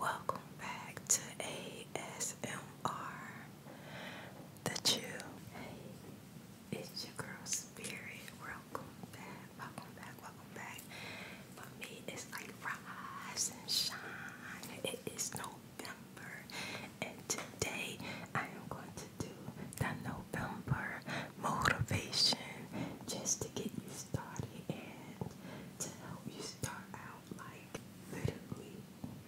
Welcome back to ASMR The Chill. it's your girl Spirit. Welcome back, welcome back, welcome back. For me, it's like rise and shine. It is November, and today I am going to do the November motivation just to get you started to help you start out like literally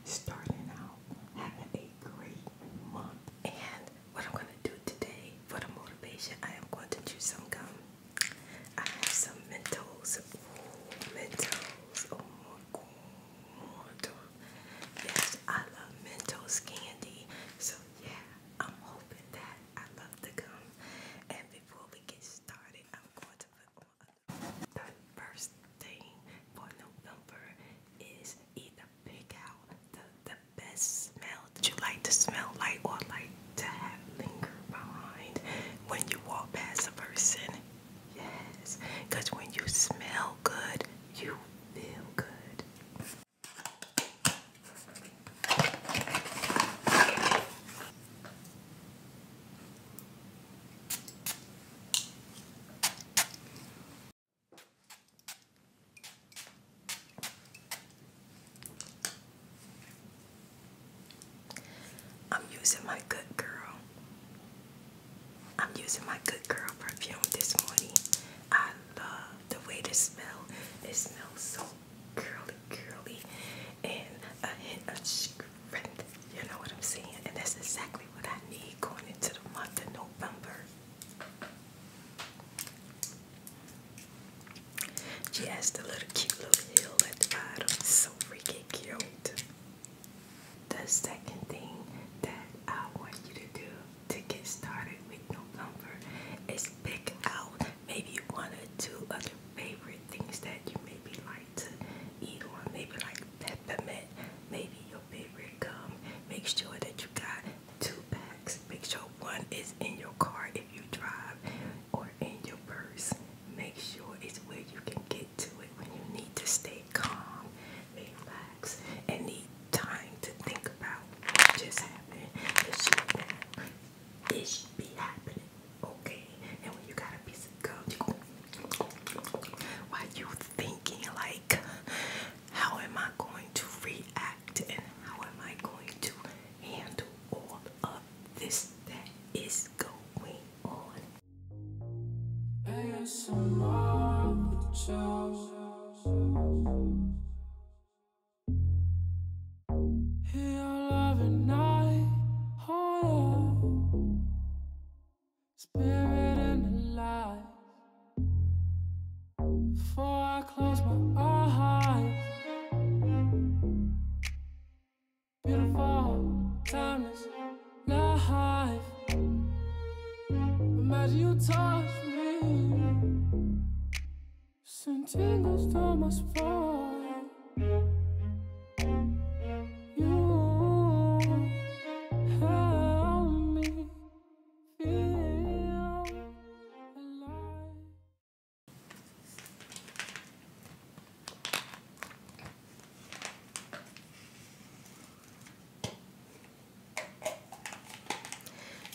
starting out having a great month. And what I'm gonna do today for the motivation, I am going to chew some gum. I have some Mentos. Ooh, Mentos. Oh my god. Yes, I love Mentos candy. So yeah, I'm hoping that I love the gum before we get started, I'm going to put on the first thing for November is either pick out the, the best smell that you like to smell like or like to have linger behind when you walk past a person. Yes, because when you smell good, you feel good. I'm using my good girl. I'm using my good girl perfume this morning. I love the way this smell. It smells so curly, curly, and a hint of strength. You know what I'm saying? And that's exactly what I need going into the month of November. She has the little cute little hill at the bottom. So freaking cute. The second thing that I want you to do to get started with November is pick out maybe one or two other favorite things that you maybe like to eat or maybe like peppermint, maybe your favorite gum. Make sure that you got two packs. Make sure one is in your car if you drive or in your purse. Make sure it's where you can get to it when you need to stay calm, relax, and need time to think about what just happened. The it should be happening, okay? And when you got a piece of gum, why you thinking like, how am I going to react and how am I going to handle all of this that is going on? ASMR with Joe. In your loving night, spirit and Before I close my eyes, beautiful, life. Imagine you touch me Sentindo tomas fora. You help me feel alive.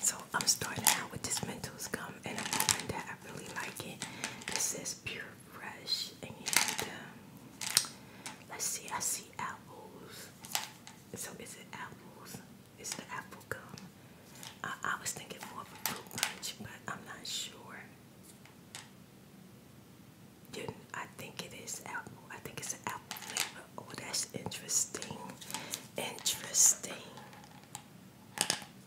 So I'm starting out with this Mentos gum and I'm hoping really like it. It says pure fresh, and um, let's see. I see apples. So is it apples? Is the apple gum? I, was thinking more of a fruit punch, but I'm not sure. I think it is apple. I think it's an apple flavor. Oh, that's interesting. Interesting.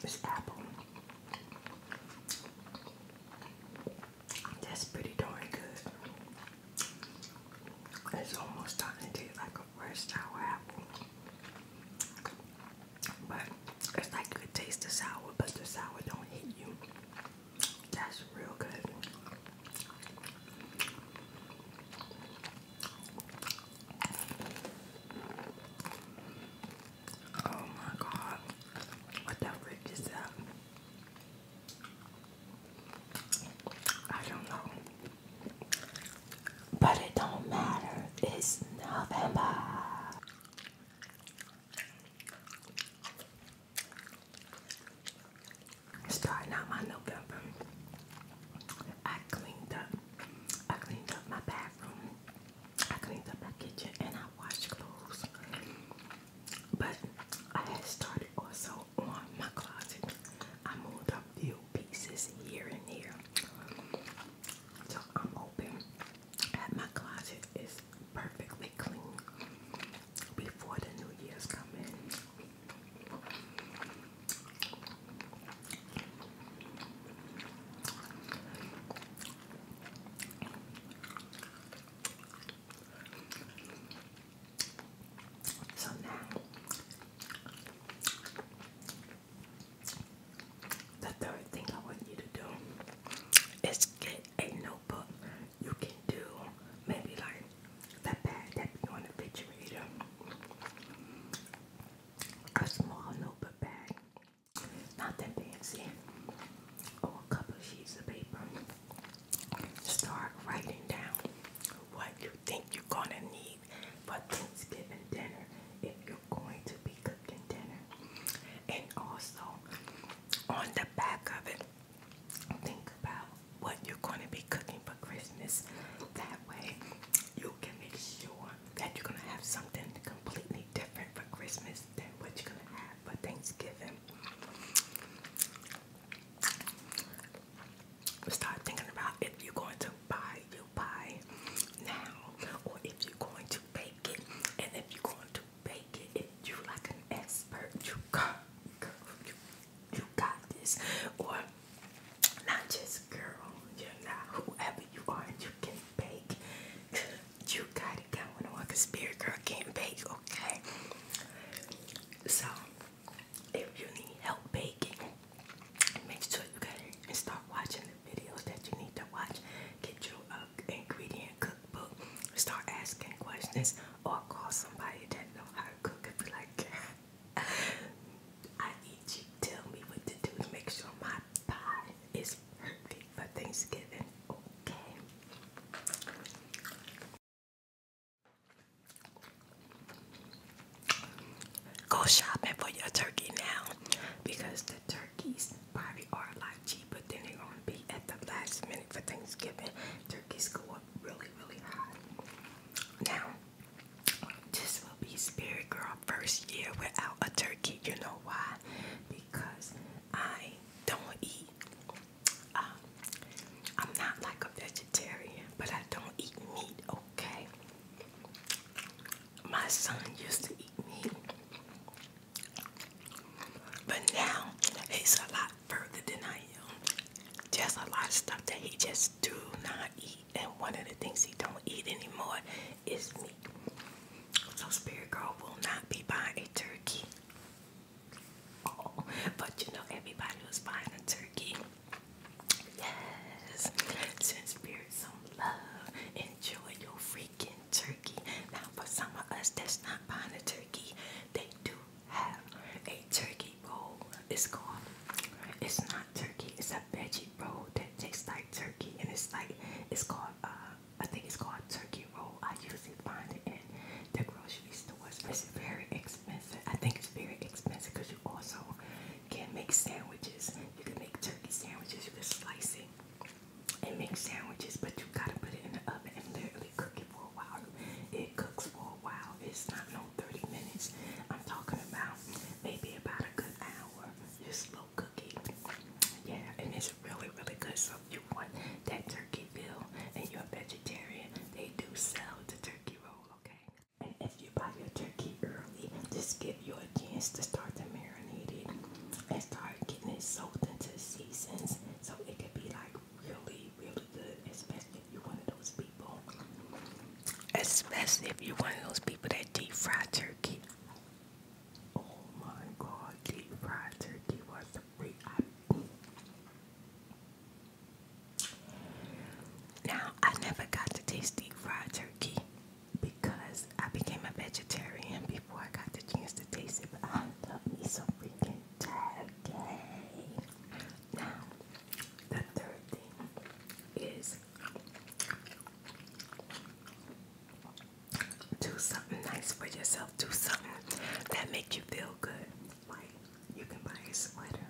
This apple. That's pretty darn good. It's almost starting to taste like a fresh sour apple. But it's like you taste the sour, but the sour don't hit you. That's real good. Oh my god, what the frick is that? I don't know. But it don't matter, it's November starting out my November, I cleaned up. I cleaned up my bathroom. I cleaned up my kitchen and I washed clothes. But I started also on my closet. I moved a few pieces here and there. So I'm hoping that my closet is perfectly clean before the New Year's come so now the third thing I want you to do is get a notebook. You can do maybe like that bag that be on the refrigerator. A small notebook bag. Not that fancy. Oh, a couple sheets of paper. Start writing down what you think you're gonna need for Thanksgiving dinner if you're going to be cooking dinner. And also on the back of it, think about what you're going to be cooking for Christmas. That way, you can make sure that you're going to have something completely different for Christmas than what you're going to have for Thanksgiving. Start thinking about if you're going to buy your pie now, or if you're going to bake it, and if you're going to bake it, you like an expert, you go, girl, you you got this, or not just girl, you're not whoever you are, and you can bake. You got it going on, cause spirit girl can't bake, okay? So if you need help baking, make sure you go and start watching the videos that you need to watch. Get your ingredient cookbook, start asking questions, or call somebody that know how to cook and be like, I need you to tell me what to do to make sure my pie is perfect for Thanksgiving. Okay. Go shopping for your turkey now because the turkeys probably are a lot cheaper than they're going to be at the last minute for Thanksgiving. Turkeys go up really, really high. Now, this will be Spirit Girl first year without a turkey. You know why? Because I don't eat. Um, I'm not like a vegetarian, but I don't eat meat, okay? My son used to eat meat. But now he's a lot further than I am. Just a lot of stuff that he just do not eat, and one of the things he don't eat anymore is meat. So Spirit Girl will not be buying a turkey. but you know everybody was buying a turkey. Yes, send Spirit some love. Enjoy your freaking turkey. Now for some of us that's not buying a turkey, they do have a turkey it's called. It's not turkey. It's a veggie roll that tastes like turkey, and it's like it's called. Uh, I think it's called turkey roll. I usually find it in the grocery stores. It's very expensive. I think it's very expensive because you also can make sandwiches. You can make turkey sandwiches. You can slice it and make sandwiches, but you gotta put it in the oven and literally cook it for a while. It cooks for a while it's not no 30 minutes. I'm talking about maybe about a good hour. Just slow cooking, Yeah, and it's really, really good. So if you want that turkey bill and you're a vegetarian, they do sell the turkey roll, okay? And if you buy your turkey early, just give you a chance to start to marinate it and start getting it soaked into seasons so it could be like really, really especially if you're one of those people. Especially if you're one of those people that deep fry turkey. Oh my god, deep fried turkey was the Now, I never got to taste deep fried turkey because I became a vegetarian before I got the chance to taste it, but I love me some freaking turkey. Now, the third thing is do something nice for yourself. Do something that makes you feel good. Like you can buy a sweater.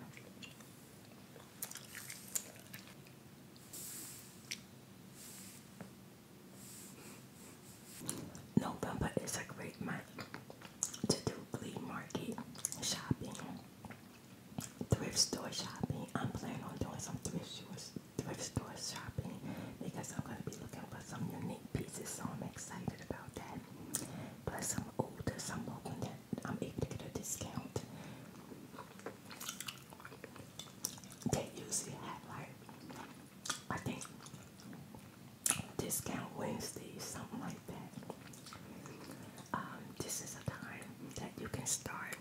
No, November is a great month to do flea market shopping thrift store shopping. I'm planning on doing some thrift stores, thrift store shopping because I'm gonna be looking for some unique pieces, so I'm excited about that. Plus, I'm older, so I'm hoping that I'm able to get a discount. They usually have like I think discount Wednesday, something like um, this is a time that you can start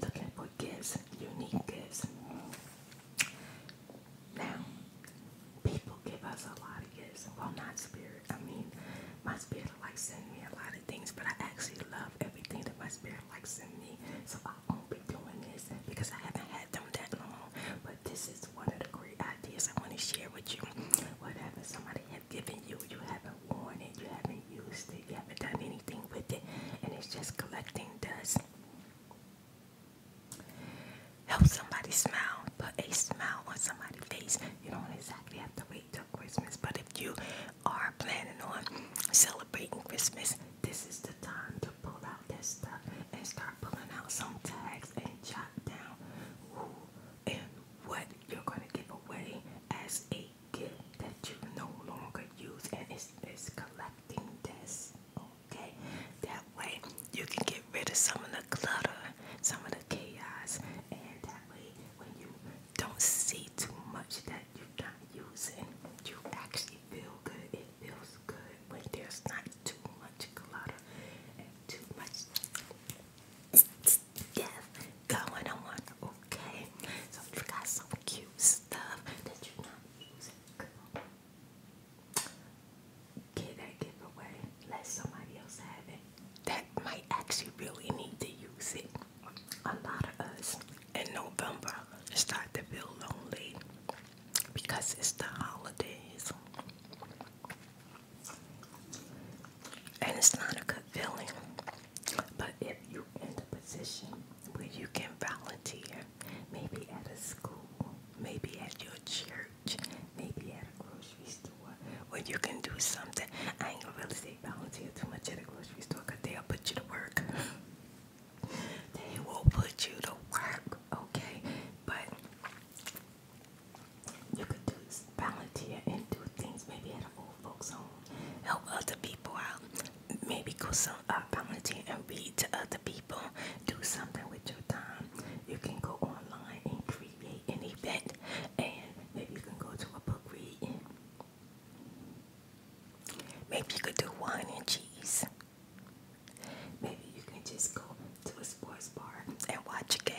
looking for gifts, unique gifts. Now, people give us a lot of gifts. Well, not spirit. I mean, my spirit likes sending me a lot of things, but I actually love everything that my spirit likes sending me. So I won't be doing this because I haven't had them that long. But this is one of the great ideas I want to share with you whatever somebody have given you, you haven't worn it, you haven't used it, you haven't done anything with it, and it's just collecting dust. Help somebody smile, put a smile on somebody's face. You don't exactly have to wait till Christmas, but if you are planning on celebrating Christmas, this is the time to pull out this stuff and start pulling out some tags and jot down and what you're going to give away as a gift that you no longer use, and it's, it's collecting this. Okay, that way you can get rid of some of the clutter, some of the chaos, and that way when you don't see too much that you're not using, you actually feel good. It feels good when there's not too much clutter and too much stuff going on, okay? So you got some cute stuff that you're not using. Girl. that giveaway. Let somebody else have it. That might actually really need to use it. A lot of us in November start to feel lonely because it's the holidays. And it's not a good feeling. But if you're in a position where you can volunteer, maybe at a school, maybe at your church, maybe at a grocery store, where you can do something, I ain't gonna really say volunteer too much at a grocery store because they'll put you to work. they will put you to work, okay? But you could do volunteer and do things maybe at an old folks' home, help other people out. Maybe go some uh, volunteer and read to other people. Do something with your time. You can go online and create an event, and maybe you can go to a book reading. Maybe you could do wine and cheese. Maybe you can just go to a sports bar and watch a game.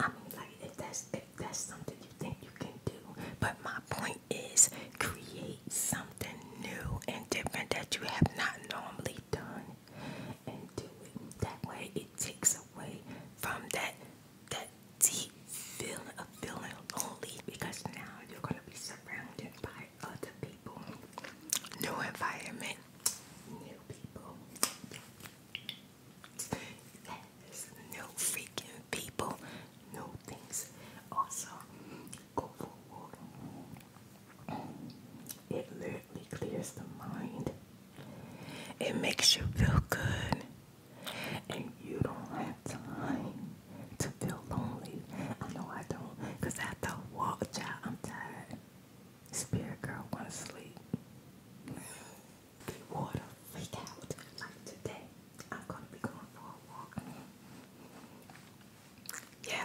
I mean, like if that's if that's something you think you can do, but my point is create something new and different that you have not normally done, and do it that way. It takes away from that that deep feeling of feeling only because now you're gonna be surrounded by other people, new environment, new people no freaking people, no things. Also, It literally clears the mind. It makes you feel good, and you don't have time to feel lonely. I know I don't, cause after a walk, child, I'm tired. Spirit girl wanna sleep. Get water, freak out. Like today, I'm gonna be going for a walk. Yeah.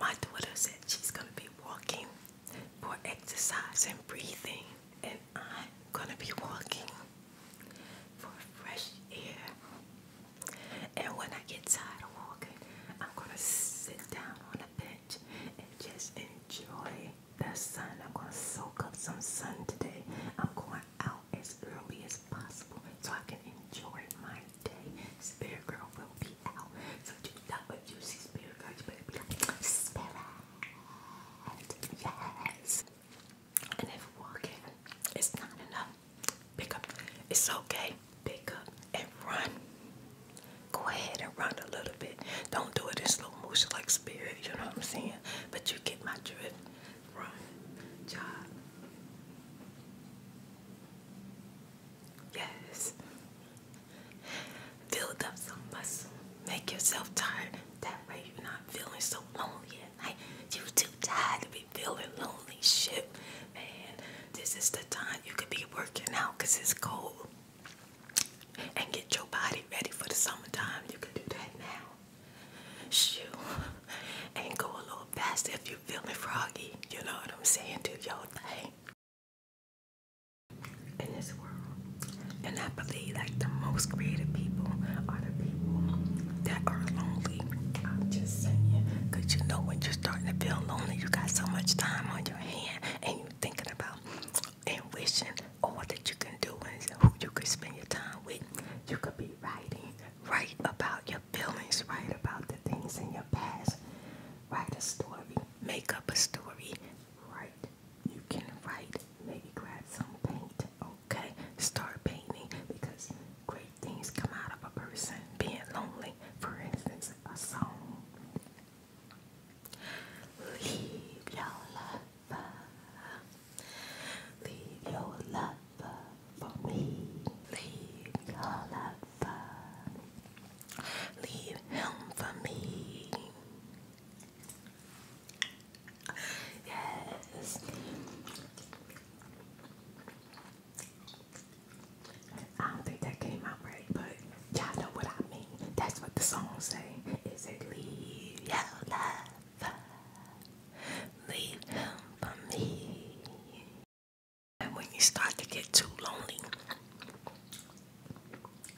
My daughter said she's gonna be walking for exercise and breathing, and I'm gonna be walking for fresh air. And when I get tired walking, I'm gonna sit down on a bench and just enjoy the sun. I'm going to soak up some sun today. I'm going out as early as possible so I can enjoy my day. Spirit Girl will be out. So you know if you see Spirit Girl, you better be like, Spirit! Yes! And if walking is not enough, pick up. It's okay pick up and run. Go ahead and run a little bit. Don't do it in slow motion like spirit, you know what I'm saying? But you get my drift. Run. Job. Yes. Build up some muscle. Make yourself tired. That way you're not feeling so lonely at night. You're too tired to be feeling lonely. Shit, man. This is the time you could be working out because it's cold and get your body ready for the summertime. You can do that now. Shoo. And go a little faster if you feel me, froggy. You know what I'm saying? Do your thing. In this world. And I believe like the most creative people are the people that are lonely. I'm just saying. Cause you know when you're starting to feel lonely, you got so much time on your hands, and you thinking about and wishing on that you can do and who you could spend your time with. You could be writing, write about your feelings, write about the things in your past, write a story, make up a story, write. You can write, maybe grab some paint, okay? Start painting because great things come out of a person being lonely. For instance, a song. Leave your lover, leave your lover for me. Leave your lover, leave him for me. Yes. I don't think that came out right, but y'all know what I mean. That's what the song say. It say leave your love, leave him for me. And when you start to get too lonely,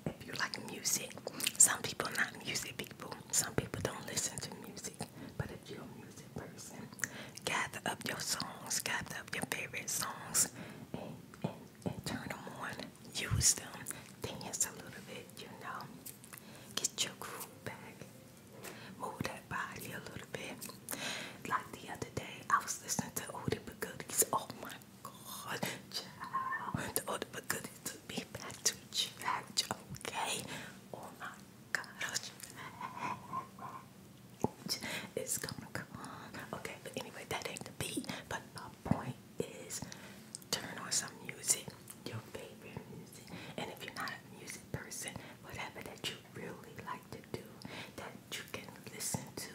if you like music, some people not music people. Some people don't listen to music. But if you're a music person, gather up your songs, gather up your favorite songs, and turn them on. Use them. Dance a little bit, you know. Get your groove back. Move that body a little bit. Like the other day, I was listening to Odie But Goodies. Oh my god, child. The Odie But Goodies took me back to church, okay? Oh my gosh. It's gonna come on. Okay, but anyway, that ain't the beat. But my point is turn on some music, your favorite music. And if you're not a music person, whatever that you really like to do, that you can listen to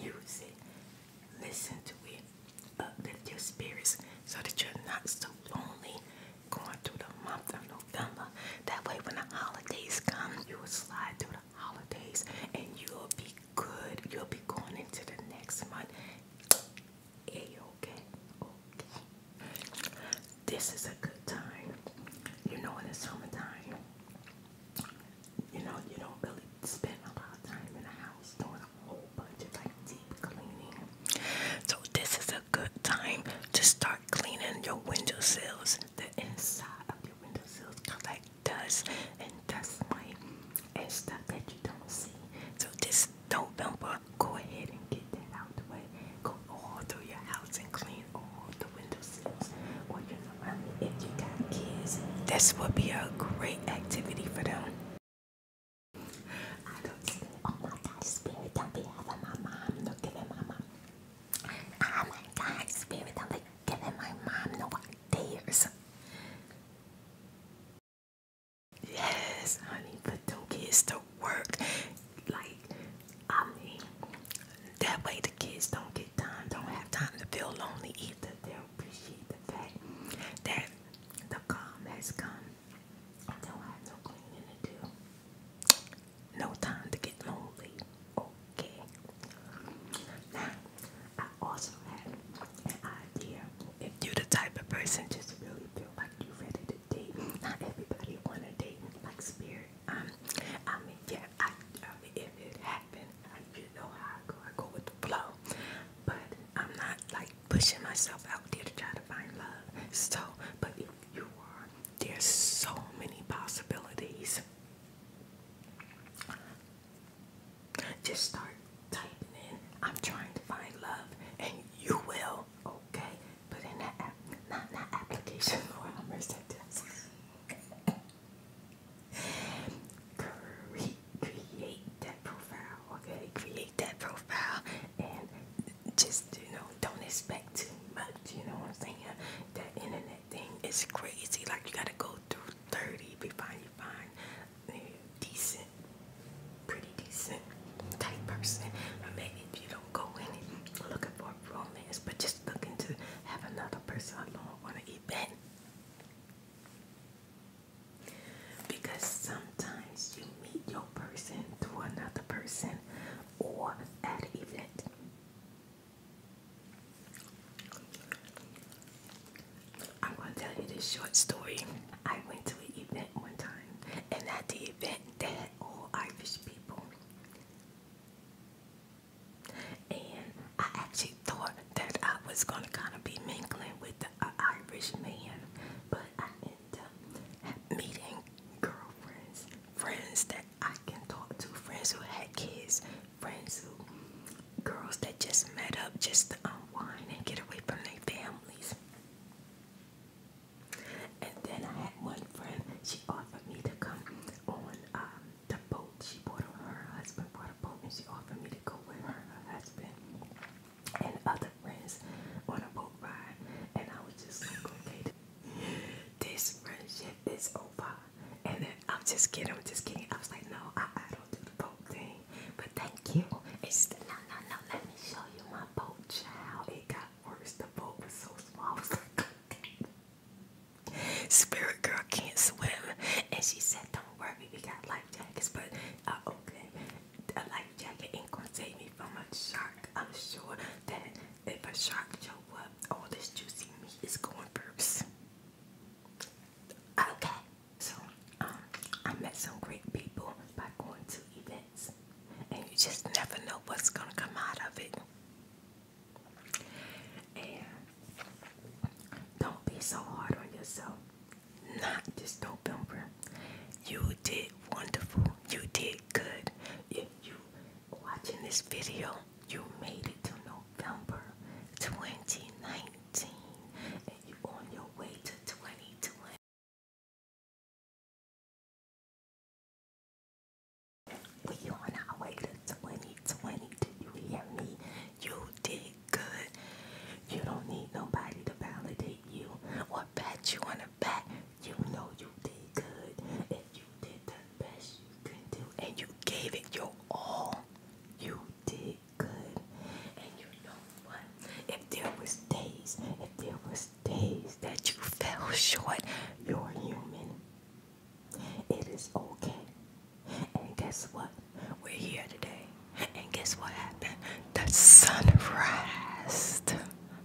music. Listen to it. Uplift your spirits so that you're not so lonely going through the month of November. That way when the holidays come, you will slide through the holidays and you'll be good. You'll be going into the next month. Hey, okay, okay. This is a good time. You know, in the summertime, you know, you don't really spend a lot of time in the house doing a whole bunch of like deep cleaning. So this is a good time to start cleaning your window sills. the inside of your windowsills, cause like does and dust my and stuff that you don't see. So just don't bump up. Go ahead and get that out the way. Go all through your house and clean all the windowsills. Or you know, if you got kids, this would be a great activity for them. I don't see. Oh my God, spirit! Don't be having my mom looking at my mom. Oh my God, spirit! Don't be giving my mom no ideas. Yes, honey, put them kids to work. Like, I mean, that way the kids don't get time, don't have time to feel lonely either. They'll appreciate the fact that the calm has come. I have no cleaning to do. No time to get lonely okay. Now, I also have an idea. If you're the type of person just really feel like you're ready to date, not everybody want a date like spirit. Um, I mean, yeah, I, I mean, if it happened, I, you know how I go. I go with the flow. But I'm not like pushing myself out there to try to find love. So, but if you are, there's so many possibilities. Just start typing in, I'm trying to find love, and you will, okay? Put in that app, not, not application, for I'm Create, that profile, okay? Create that profile and just, you know, don't expect too much, you know what I'm saying? That internet that thing is crazy. Like you gotta go through 30 before you find a decent, pretty decent type person. Or maybe if you don't go in it looking for romance, but just looking to have another person along on an event. Because sometimes you meet your person through another person or at an event. I'm going to tell you this short story. I went to an event one time, and at the event, they had all Irish people. And I actually thought that I was going to kind of be mingling with the Irish man, but I ended up meeting girlfriends, friends that I can talk to friends who had kids, friends who girls that just met up just to unwind and get away from their families. And then I had one friend, she offered me to come on um, the boat. She bought her husband bought a boat and she offered me to go with her, her husband and other friends on a boat ride. And I was just like, okay, this friendship is over. And then I'm just kidding, I'm just kidding. I was like, no, I, don't do the boat thing. But thank you. no, no, no, let me show you my boat, child. It got worse. The boat was so small. Spirit girl can't swim. And she said, don't worry, we got life jackets. But, uh, okay, a life jacket ain't gonna save me from a shark. I'm sure that if a shark show up, all this juicy meat is going burps. Okay, so um, I met some great people by going to events, and you just never know what's gonna come out of it. And don't be so hard on yourself. Not this November. You did wonderful. You did good. If you watching this video, you made it to November 2019 and you're on your way to 2020. We on our way to 2020. Do you hear me? You did good. You don't need nobody to validate you or pat you on the back. You know you did good. If you did best you can do, and you gave it your all. You did good, and you know what? If there was days, if there was days that you fell short, you're human. It is okay. And guess what? We're here today. And guess what happened? The sun rise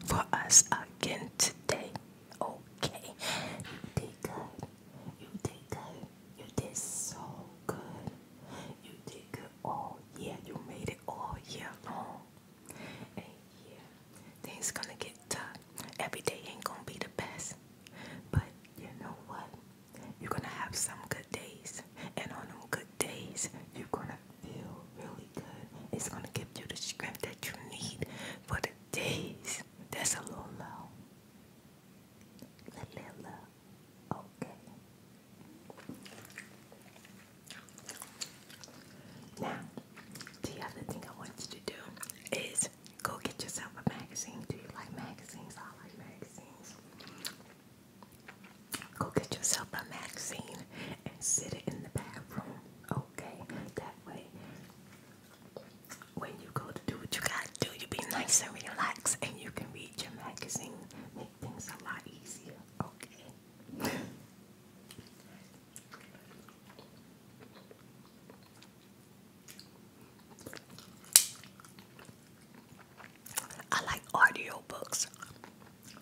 for us again today. Okay. You did good. You did good. You did so good. You did good all year. You made it all year long. And yeah, things gonna get tough. Every day ain't gonna be the best. But you know what? You're gonna have some good days. And on them good days, you're gonna feel really good. It's gonna give you the strength that you need for the days that's a little low vanilla. Okay. Now, the other thing I want you to do is go get yourself a magazine. Do you like magazines? I like magazines. Go get yourself a magazine and sit it in the bathroom. Okay, that way when you go to do what you gotta do, you be nice and relaxed, and you can read your magazine, make things a lot easier. Okay. I like audio books.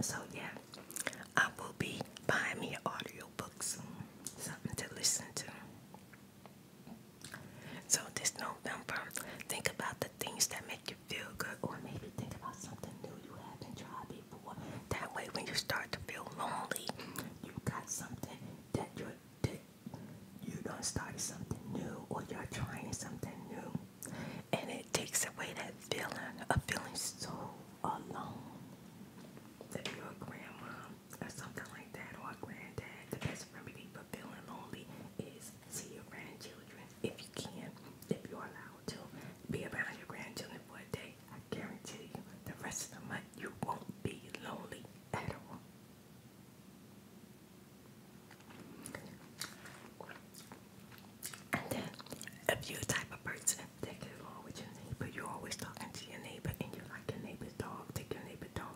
So yeah, I will be buying me audio books, something to listen to. So this November, think about the things that make you feel good, or maybe think about something new you haven't tried before. That way, when you start to feel lonely, you got something that you that you done started something new, or you're trying something new, and it takes away that feeling of feeling so alone. That your grandma or something like that, or a granddad. The best remedy for feeling lonely is see your grandchildren if you can, if you're allowed to. Be around your grandchildren for a day. I guarantee you, the rest of the month you won't be lonely at all. And then, if you're the type of person that gets along with your neighbor, you're always talking to your neighbor and you like your neighbor's dog, take your neighbor's dog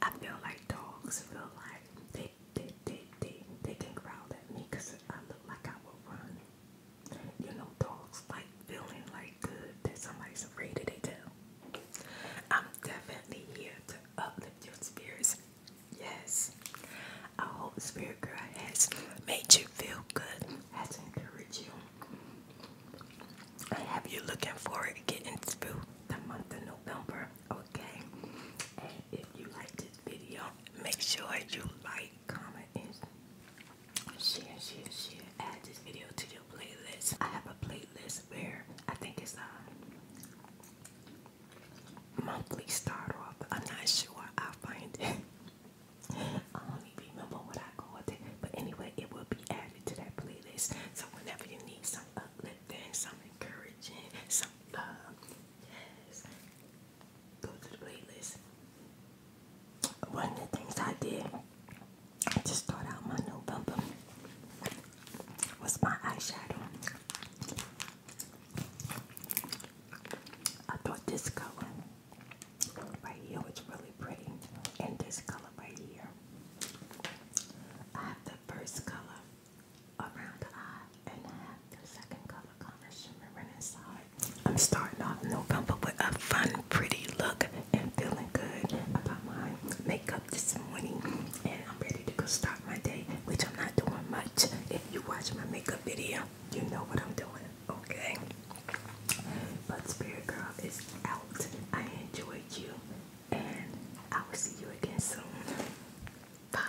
I feel like dogs feel like they they they they, they can growl at me because I look like I will run. You know, dogs like feeling like good that somebody's afraid of their tail. I'm definitely here to uplift your spirits. Yes. I hope Spirit Girl has made you feel good, has encouraged you I have you looking forward to getting through the month of November, okay? And if you like this video, make sure you like, comment, and share, share, share. Add this video to your playlist. I have a playlist where I think it's a monthly start off. I'm not sure. I'll find it. I don't even remember what I called it, but anyway, it will be added to that playlist. So whenever you need some uplifting, some encouraging, some yes, go to the playlist. One of the things I did, I just start out my November was my eyeshadow. I thought this color Right here it's really pretty. And this color right here. I have the first color around the eye and I have the second color color shimmering inside. I'm starting off November with a fun, pretty look and feeling good about my makeup this morning. And I'm ready to go start my day, which I'm not doing much. If you watch my makeup video, you know what I'm doing. Okay. But Spirit Girl is out. I enjoyed you. And I will see you again soon. Bye.